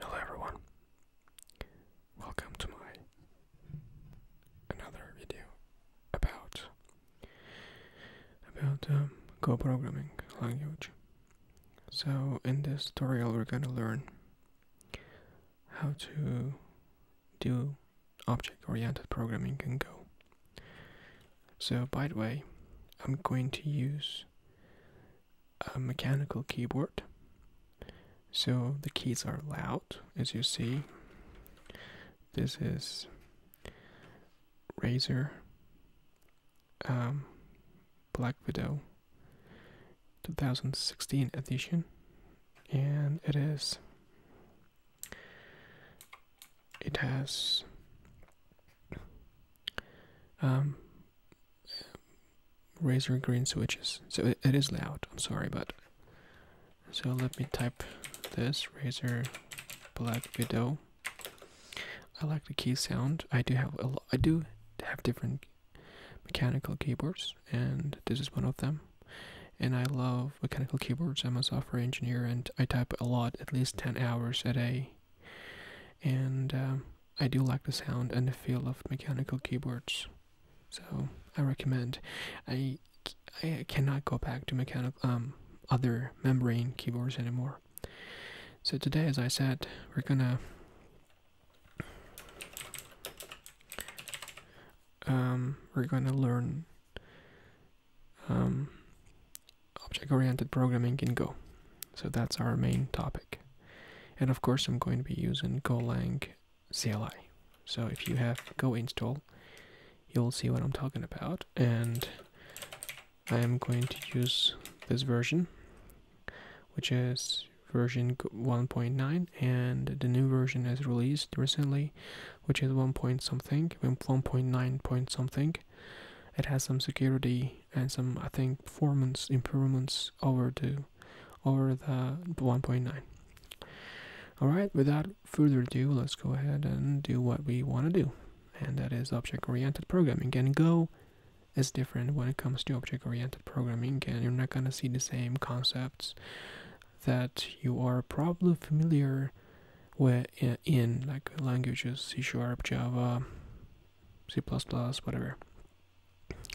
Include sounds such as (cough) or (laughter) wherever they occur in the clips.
Hello everyone. Welcome to my another video about about um, Go programming language. So in this tutorial we're gonna learn how to do object-oriented programming in Go. So by the way, I'm going to use a mechanical keyboard. So the keys are loud, as you see. This is Razer, um, Black Widow 2016 edition, and it is. It has um, razor green switches. So it is loud, I'm sorry, but. So let me type this razor black widow. I like the key sound. I do have a lot, I do have different mechanical keyboards, and this is one of them. And I love mechanical keyboards. I'm a software engineer, and I type a lot, at least 10 hours a day and um, I do like the sound and the feel of mechanical keyboards, so I recommend. I I cannot go back to mechanical um other membrane keyboards anymore. So today, as I said, we're gonna um we're gonna learn um, object-oriented programming in Go. So that's our main topic. And of course, I'm going to be using Golang CLI. So if you have Go install, you'll see what I'm talking about. And I am going to use this version, which is version 1.9 and the new version has released recently which is 1 point something 1.9 point something it has some security and some I think performance improvements over the over the 1.9. Alright, without further ado, let's go ahead and do what we want to do. And that is object-oriented programming. And Go is different when it comes to object-oriented programming and you're not going to see the same concepts that you are probably familiar with in like languages C Sharp, Java, C++, whatever.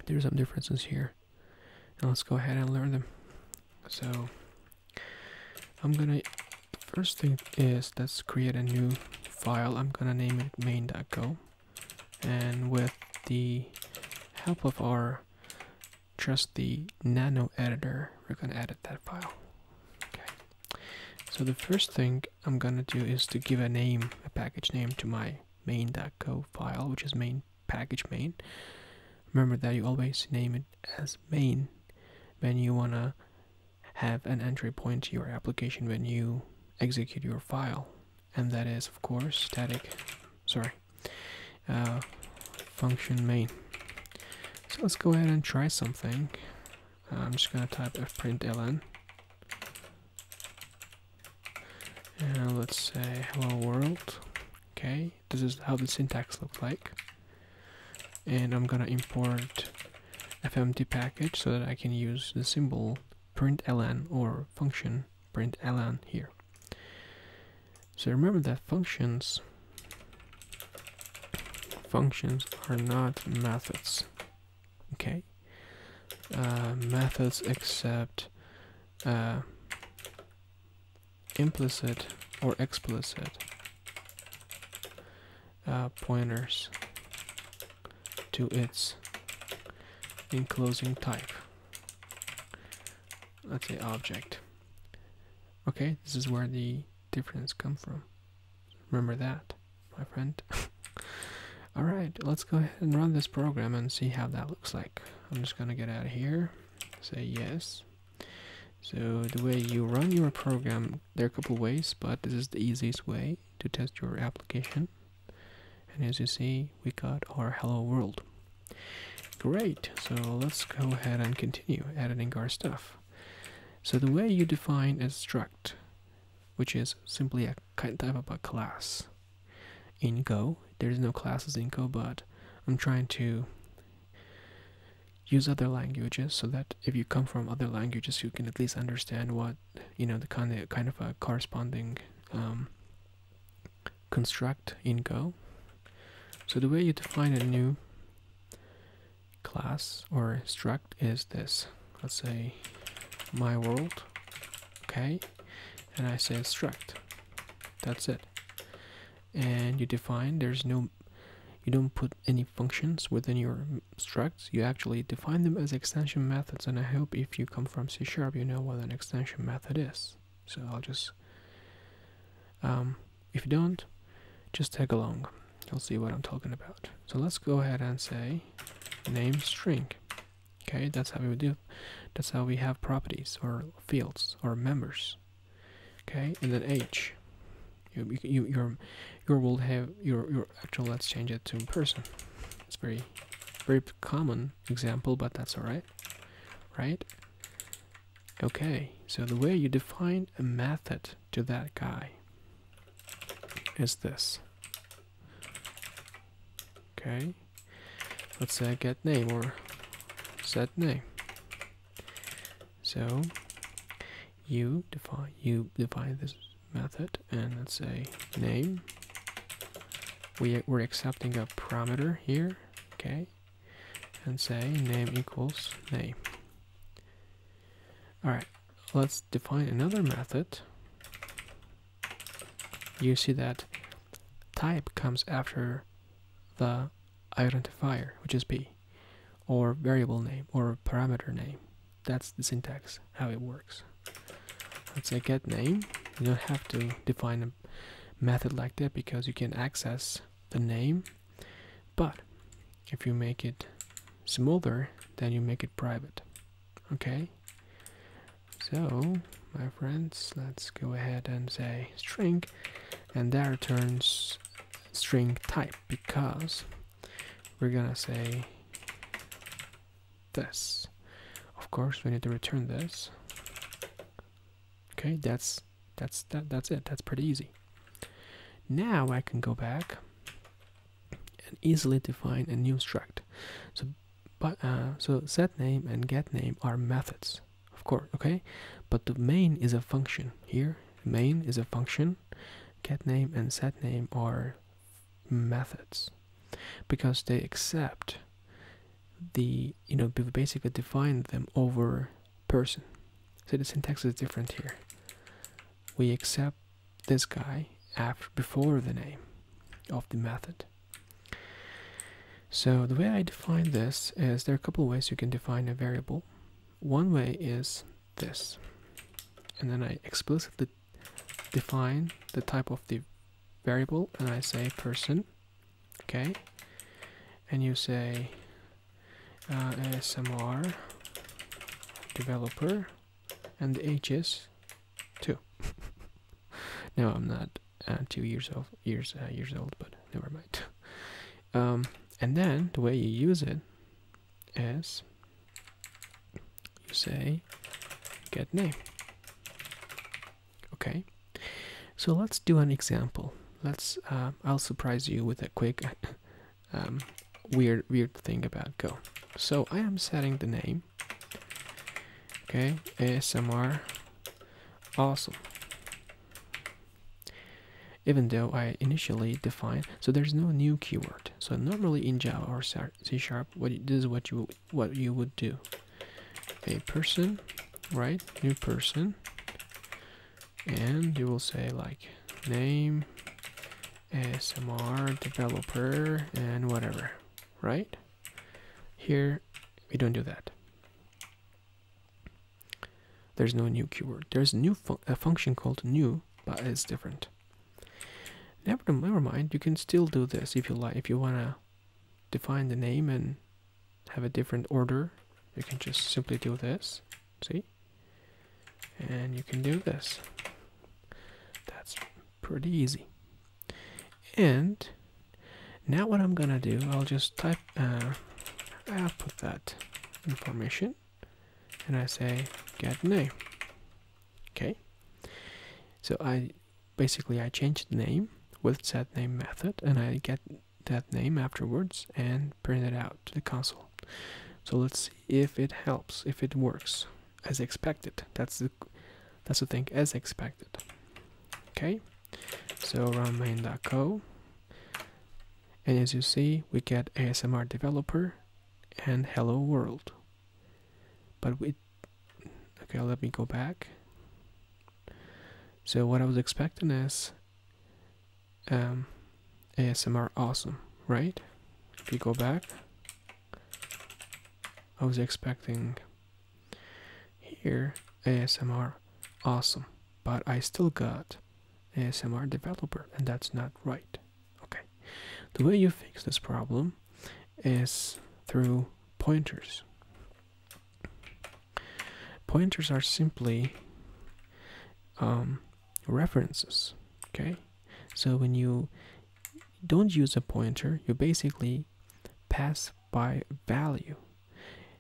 There's some differences here. and let's go ahead and learn them. So I'm gonna, first thing is, let's create a new file. I'm gonna name it main.go. And with the help of our just the nano editor, we're gonna edit that file. Okay. So the first thing I'm gonna do is to give a name, a package name to my main.co file, which is main package main. Remember that you always name it as main when you wanna have an entry point to your application when you execute your file. And that is, of course, static, sorry, uh, function main. So let's go ahead and try something. Uh, I'm just going to type fprintln. And let's say hello world. Okay, this is how the syntax looks like. And I'm going to import fmt package so that I can use the symbol println or function println here. So remember that functions functions are not methods okay uh, methods accept uh, implicit or explicit uh, pointers to its enclosing type let's say object okay this is where the difference come from Remember that, my friend. (laughs) Alright, let's go ahead and run this program and see how that looks like. I'm just gonna get out of here, say yes. So the way you run your program, there are a couple ways, but this is the easiest way to test your application. And as you see, we got our hello world. Great, so let's go ahead and continue editing our stuff. So the way you define a struct which is simply a kind type of a class. In Go, there's no classes in Go, but I'm trying to use other languages so that if you come from other languages, you can at least understand what you know the kind of kind of a corresponding um, construct in Go. So the way you define a new class or struct is this. Let's say my world, okay, and I say struct. That's it. And you define there's no you don't put any functions within your structs, you actually define them as extension methods. And I hope if you come from C sharp, you know what an extension method is. So I'll just, um, if you don't, just tag along. You'll see what I'm talking about. So let's go ahead and say name string. Okay, that's how we do. That's how we have properties or fields or members. Okay, and then age. You, you, your, your will have your, your actual. Let's change it to person. It's very, very common example, but that's all right, right? Okay, so the way you define a method to that guy is this. Okay, let's say I get name or set name. So you define you define this method and let's say name. We we're accepting a parameter here, okay, and say name equals name. All right, let's define another method. You see that type comes after the identifier, which is p, or variable name, or parameter name. That's the syntax, how it works. Let's say get name. You don't have to define a method like that because you can access the name. But if you make it smoother then you make it private okay so my friends let's go ahead and say string and that returns string type because we're gonna say this of course we need to return this okay that's that's that, that's it that's pretty easy now I can go back and easily define a new struct. So, but uh, so set name and get name are methods, of course. Okay, but the main is a function here. Main is a function. Get name and set name are methods because they accept the you know we basically define them over person. So the syntax is different here we accept this guy after before the name of the method. So the way I define this is there are a couple ways you can define a variable. One way is this, and then I explicitly define the type of the variable and I say person, okay, and you say uh, ASMR developer and the age is two. (laughs) Now I'm not uh, two years old. Years uh, years old, but never mind. Um, and then the way you use it is you say get name. Okay, so let's do an example. Let's. Uh, I'll surprise you with a quick (laughs) um, weird weird thing about Go. So I am setting the name. Okay, ASMR. Awesome. Even though I initially define, so there's no new keyword. So normally in Java or C Sharp, what this is what you what you would do. A person, right? New person and you will say like name S M R developer and whatever, right? Here we don't do that. There's no new keyword. There's new a function called new, but it's different. Never, never mind. You can still do this if you like. If you wanna define the name and have a different order, you can just simply do this. See? and you can do this. That's pretty easy. And now what I'm gonna do, I'll just type uh, I'll put that information and I say get name. Okay. So I basically I change the name with set name method and I get that name afterwards and print it out to the console. So let's see if it helps, if it works as expected. That's the that's the thing, as expected. Okay, so run main. Co, and as you see, we get ASMR developer and hello world. But we okay, let me go back. So what I was expecting is um, ASMR awesome, right? If you go back, I was expecting here ASMR awesome, but I still got ASMR developer, and that's not right. Okay, the way you fix this problem is through pointers. Pointers are simply um, references okay so when you don't use a pointer you basically pass by value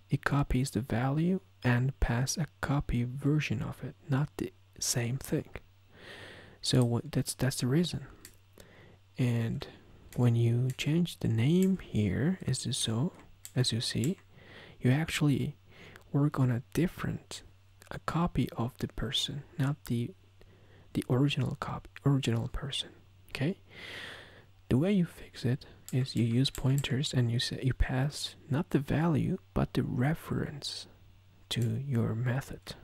it copies the value and pass a copy version of it not the same thing so what, that's that's the reason and when you change the name here as you so as you see you actually work on a different a copy of the person not the the original cop, original person okay the way you fix it is you use pointers and you say you pass not the value but the reference to your method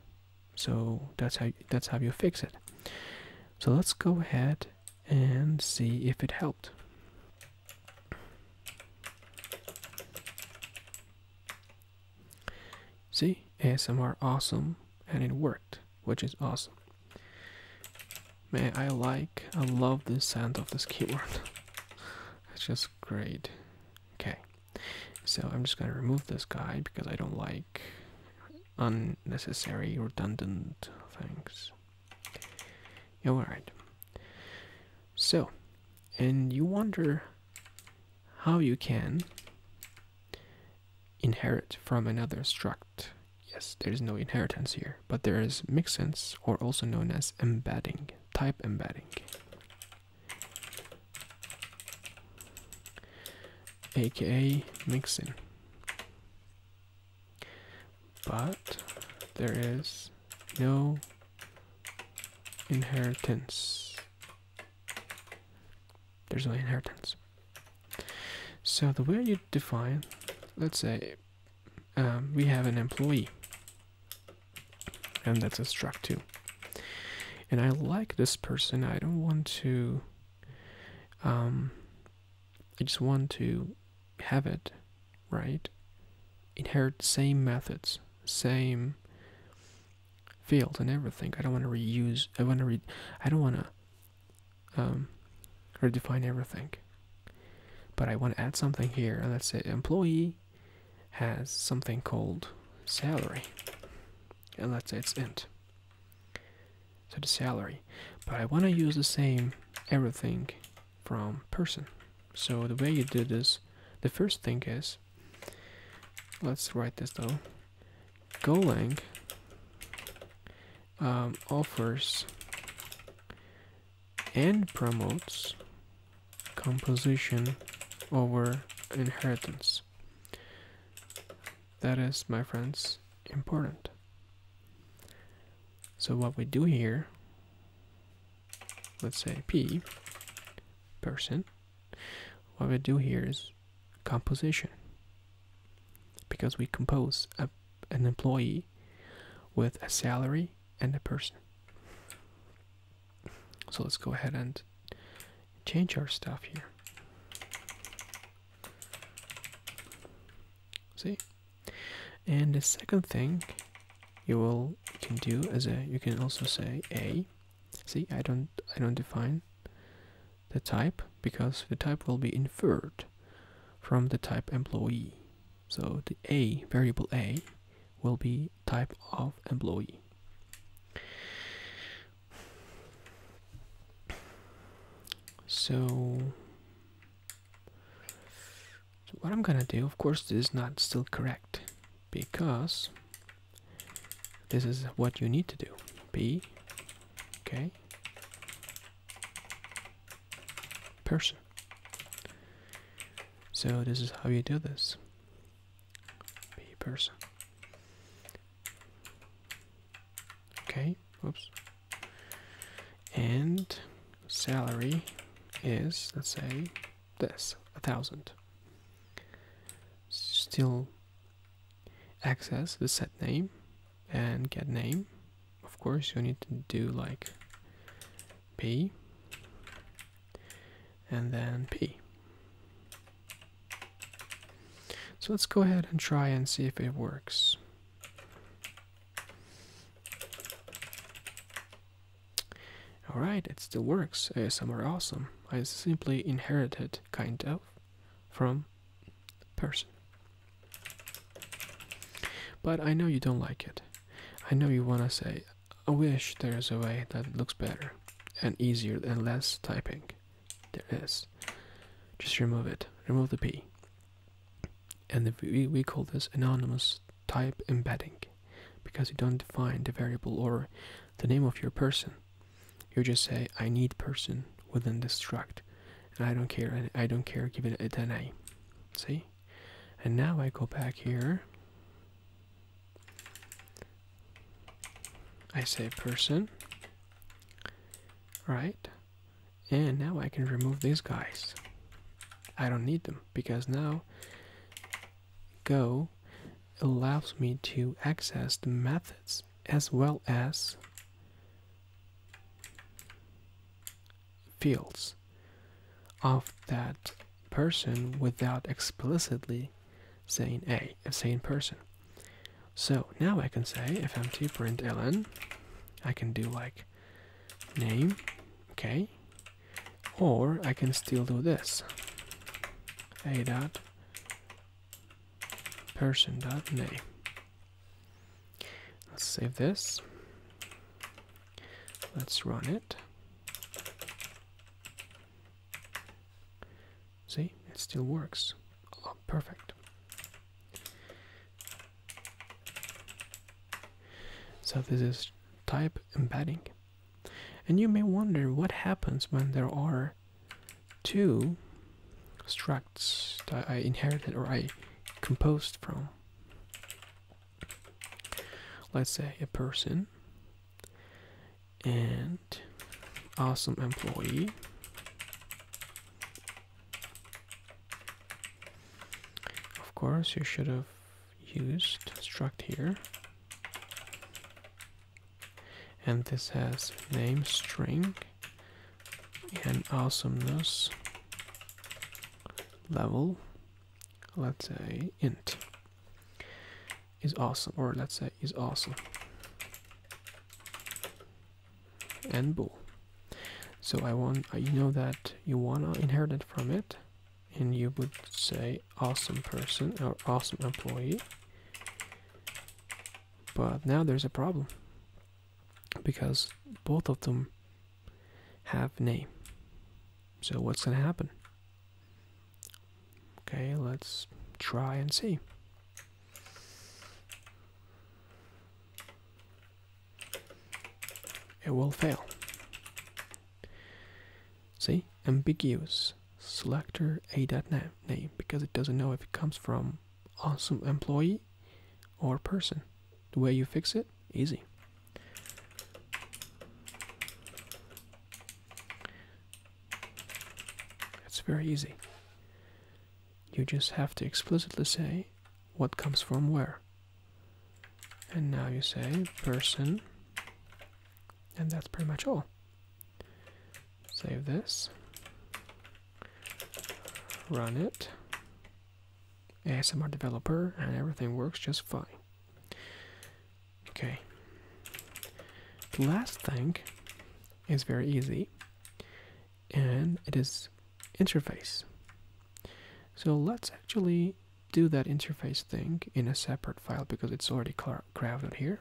so that's how that's how you fix it so let's go ahead and see if it helped See, ASMR awesome, and it worked, which is awesome. Man, I like, I love the sound of this keyboard. (laughs) it's just great. Okay, so I'm just gonna remove this guy because I don't like unnecessary redundant things. All right. So, and you wonder how you can inherit from another struct. Yes, there is no inheritance here, but there is mixins, or also known as embedding, type embedding. aka mixin but there is no inheritance. There's no inheritance. So the way you define, let's say, um, we have an employee, and that's a struct too. And I like this person. I don't want to. Um, I just want to have it, right? Inherit same methods, same fields and everything. I don't want to reuse. I want to read. I don't want to um, redefine everything. But I want to add something here. And let's say employee has something called salary. And let's say it's int. So the salary. But I want to use the same everything from person. So the way you do this, the first thing is, let's write this though. Golang um, offers and promotes composition over inheritance. That is, my friends, important. So what we do here let's say P person, what we do here is composition because we compose an employee with a salary and a person. So let's go ahead and change our stuff here. See, and the second thing you will can do is uh, you can also say a. See, I don't I don't define the type because the type will be inferred from the type employee. So the a variable a will be type of employee. So so what I'm gonna do, of course, this is not still correct because this is what you need to do. Be okay person. So this is how you do this. Be person. Okay, oops and salary is let's say this a thousand still access the set name and get name of course you need to do like p and then p so let's go ahead and try and see if it works Alright, it still works. ASM are awesome. I simply inherited, kind of, from person. But I know you don't like it. I know you wanna say, I wish there's a way that looks better and easier and less typing. There is. Just remove it. Remove the P and we, we call this anonymous type embedding because you don't define the variable or the name of your person you just say i need person within this struct and i don't care and i don't care giving it an a see and now i go back here i say person right and now I can remove these guys. I don't need them because now Go allows me to access the methods as well as fields of that person without explicitly saying a, a same person. So now I can say if empty print ln, I can do like name, okay, or I can still do this a dot person dot name. Let's save this. Let's run it. See, it still works. Oh, perfect. So this is type embedding. And you may wonder what happens when there are two structs that I inherited or I composed from. Let's say a person and awesome employee of course, you should have used struct here. And this has name string and awesomeness level, let's say int is awesome, or let's say is awesome and bool. So I want uh, you know that you wanna inherit it from it, and you would say awesome person or awesome employee. But now there's a problem because both of them have name. So what's gonna happen? Okay, let's try and see it will fail. See? Ambiguous. Selector a dot name because it doesn't know if it comes from awesome employee or person. The way you fix it, easy. It's very easy. You just have to explicitly say what comes from where. And now you say person, and that's pretty much all. Save this, run it, ASMR developer, and everything works just fine. Okay. The last thing is very easy and it is interface. So let's actually do that interface thing in a separate file because it's already carved here.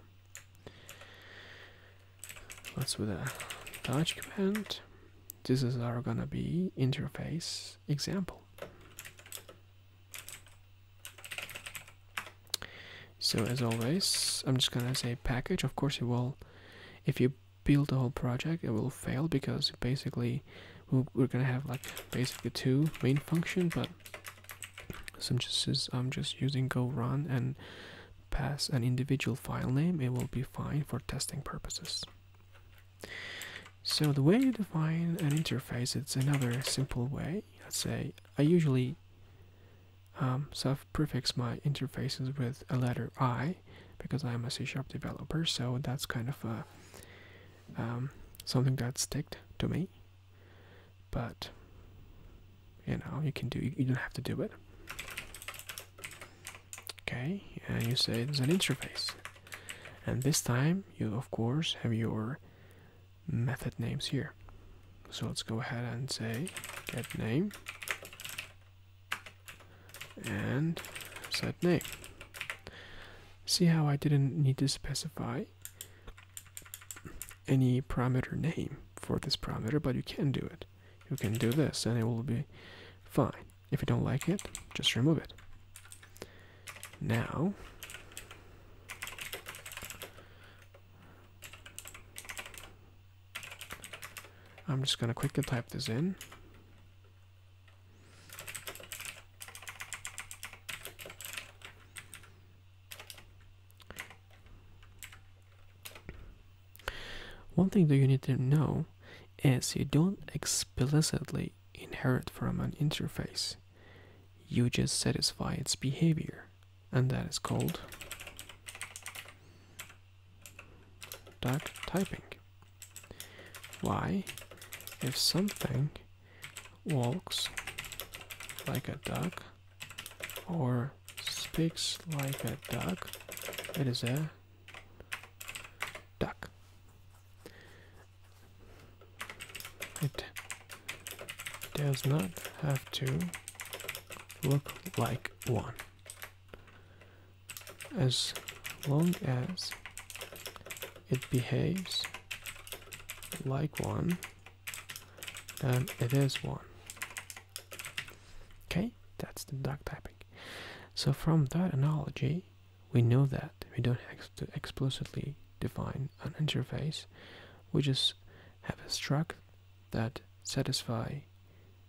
Let's do a touch command. This is our gonna be interface example. So as always, I'm just gonna say package. Of course, it will. If you build the whole project it will fail because basically we're gonna have like basically two main function but since I'm just using go run and pass an individual file name it will be fine for testing purposes so the way you define an interface it's another simple way I say I usually um, self prefix my interfaces with a letter I because I'm a C sharp developer, so that's kind of uh, um, something that's sticked to me. But you know, you can do you don't have to do it. Okay, and you say it's an interface, and this time you of course have your method names here. So let's go ahead and say get name and set name. See how I didn't need to specify any parameter name for this parameter, but you can do it. You can do this and it will be fine. If you don't like it, just remove it. Now, I'm just going to quickly type this in. One thing that you need to know is you don't explicitly inherit from an interface. You just satisfy its behavior, and that is called Duck typing. Why, if something walks like a duck or speaks like a duck, it is a duck. It does not have to look like one as long as it behaves like one, then it is one. Okay, that's the duck typing. So from that analogy, we know that we don't have to explicitly define an interface. We just have a struct that satisfy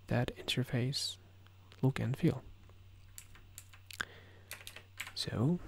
that interface look and feel. So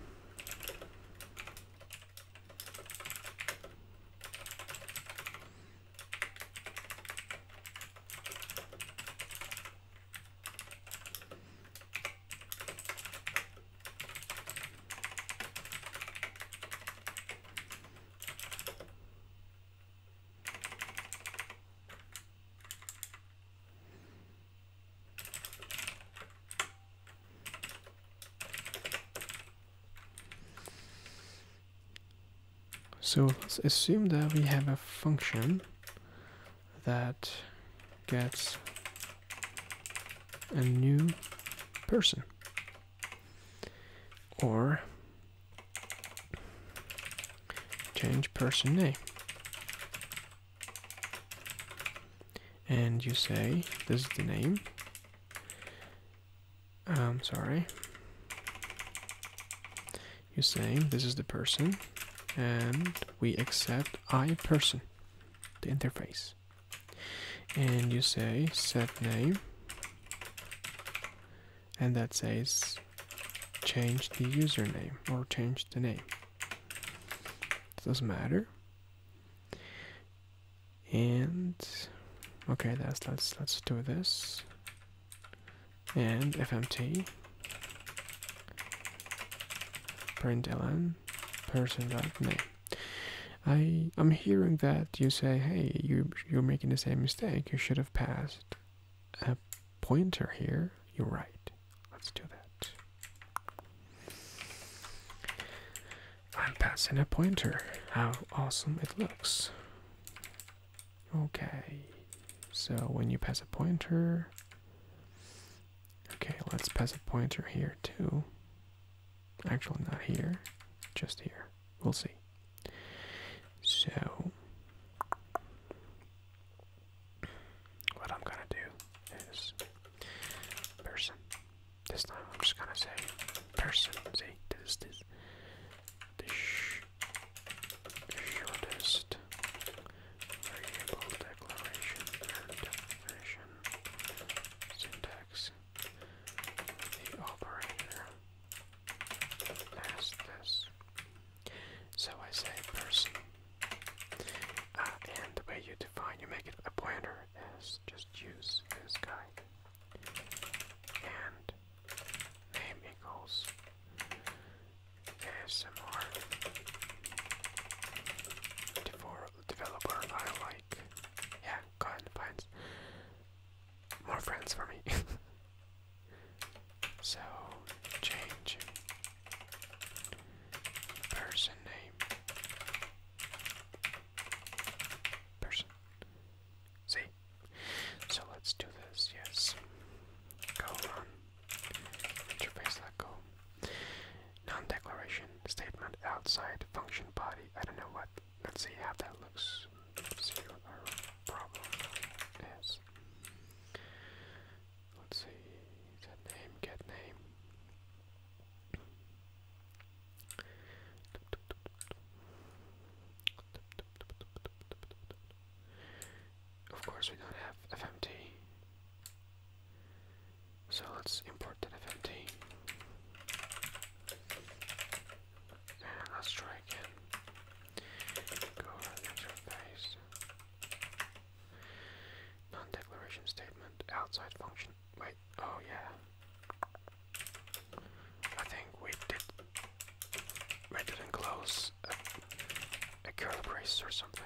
so let's assume that we have a function that gets a new person or change person name and you say this is the name I'm um, sorry you say this is the person and we accept I person the interface and you say set name and that says change the username or change the name. It doesn't matter. And okay, that's let's let's do this. And fmt println person dot name. I I'm hearing that you say, hey, you you're making the same mistake. You should have passed a pointer here. You're right. Let's do that. I'm passing a pointer. How awesome it looks. Okay. So when you pass a pointer. Okay, let's pass a pointer here too. Actually, not here, just here. We'll see. So, what I'm gonna do is person. This time I'm just gonna say person. See, this is this. The sh variable declaration and definition syntax. The operator as this. So I say person. Uh, and the you define, you make it a pointer is just use this guy. And name equals ASMR developer I like. Yeah, go ahead more friends for me. (laughs) so change person name. Person. See? So let's do this, yes. Go on. Interface let go. Non declaration statement outside function body. I don't know what let's see how that looks. Let's problem is. Let's see, set name, get name. Of course, we don't have FMT, so let's import that FMT let's try again. Go over the Non-declaration statement. Outside function. Wait. Oh yeah. I think we did. We didn't close a curly brace or something.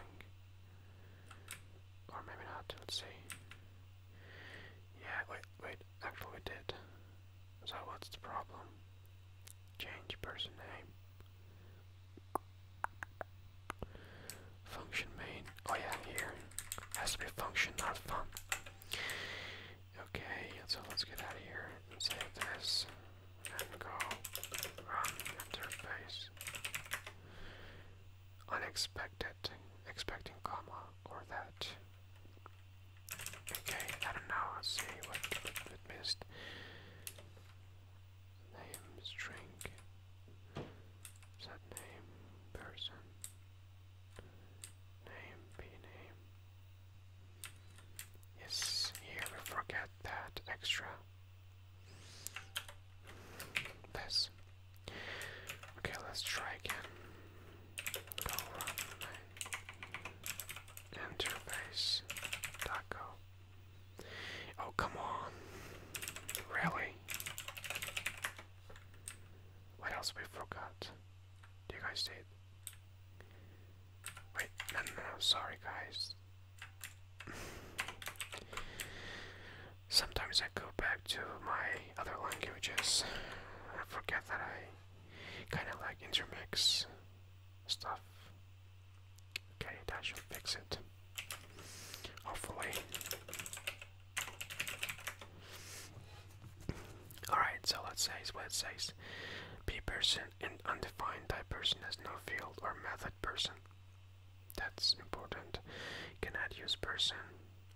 Or maybe not. Let's see. Yeah. Wait. Wait. Actually, we did. So what's the problem? Change person name. Function main. Oh yeah, here. Has to be function, not fun. Okay, so let's get out of here and save this. And go run interface. Unexpected. Expecting comma or that. Okay, I don't know, I'll see what missed. Name, string, set name, person, name, p name. Yes, here we forget that extra. This. Okay, let's try again. Interface. Taco. Oh, come on. Really? What else we forgot? Do you guys date? Wait, no, no, sorry guys. Sometimes I go back to my other languages. I forget that I kind of like intermix stuff. Okay, that should fix it. Hopefully. Alright, so let's say what it says. P person and undefined type person has no field or method person. That's important. Cannot use person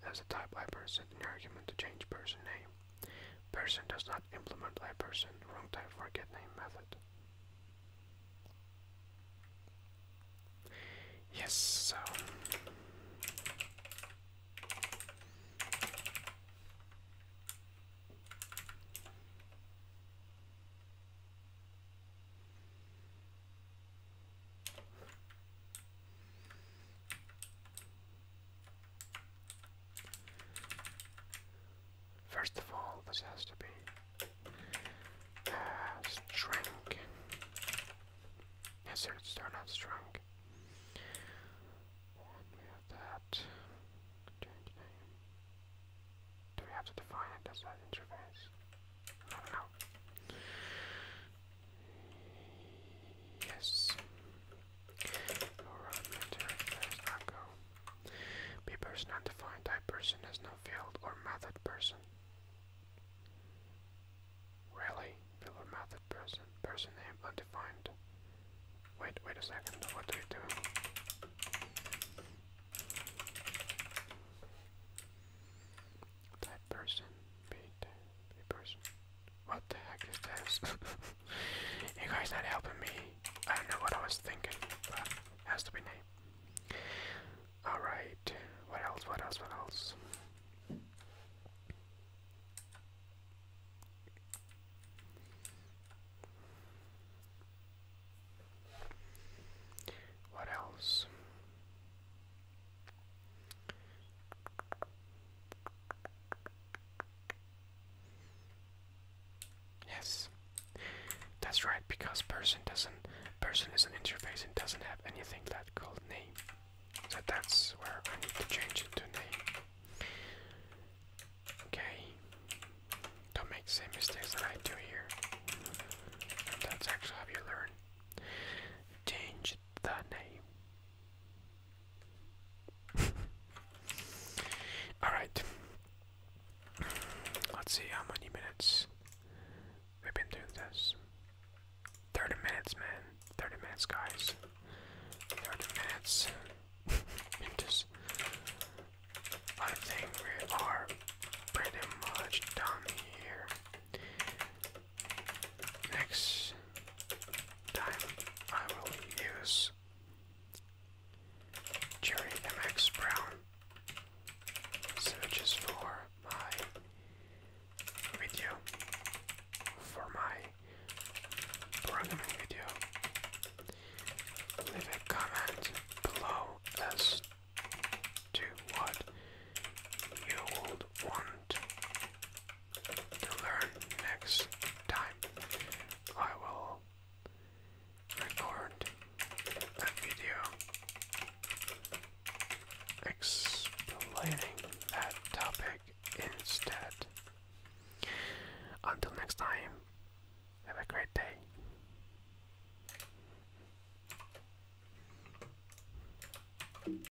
as a type Person. in argument to change person name. Person does not implement Person. wrong type for getName method. Yes, so First of all, this has to be uh, Yes, it's turned out strength. And that. Change name. Do we have to define it as that interface? I don't know. Yes. Alright, military affairs, go. Be person undefined, type person has no field or method person. Really? Field method person? Person name undefined. Wait, wait a second, what do we do? Type person, be person. What the heck is this? (laughs) you guys not helping me. I don't know what I was thinking, but it has to be named. Alright, what else, what else, what else? What else? Yes. That's right, because person doesn't person is an interface and doesn't have anything that called name. So that's where I need to change it to name. Okay. Don't make the same mistakes that I do here. And that's actually how you learn. Change the name. Alright. Let's see how many minutes we've been doing this. 30 minutes, man. 30 minutes, guys. 30 minutes. (laughs) I think we are pretty much done here next time I will use Cherry MX Brown searches for my video for my programming video. Leave a comment below as to what you would want learn next time. I will record a video explaining that topic instead. Until next time, have a great day.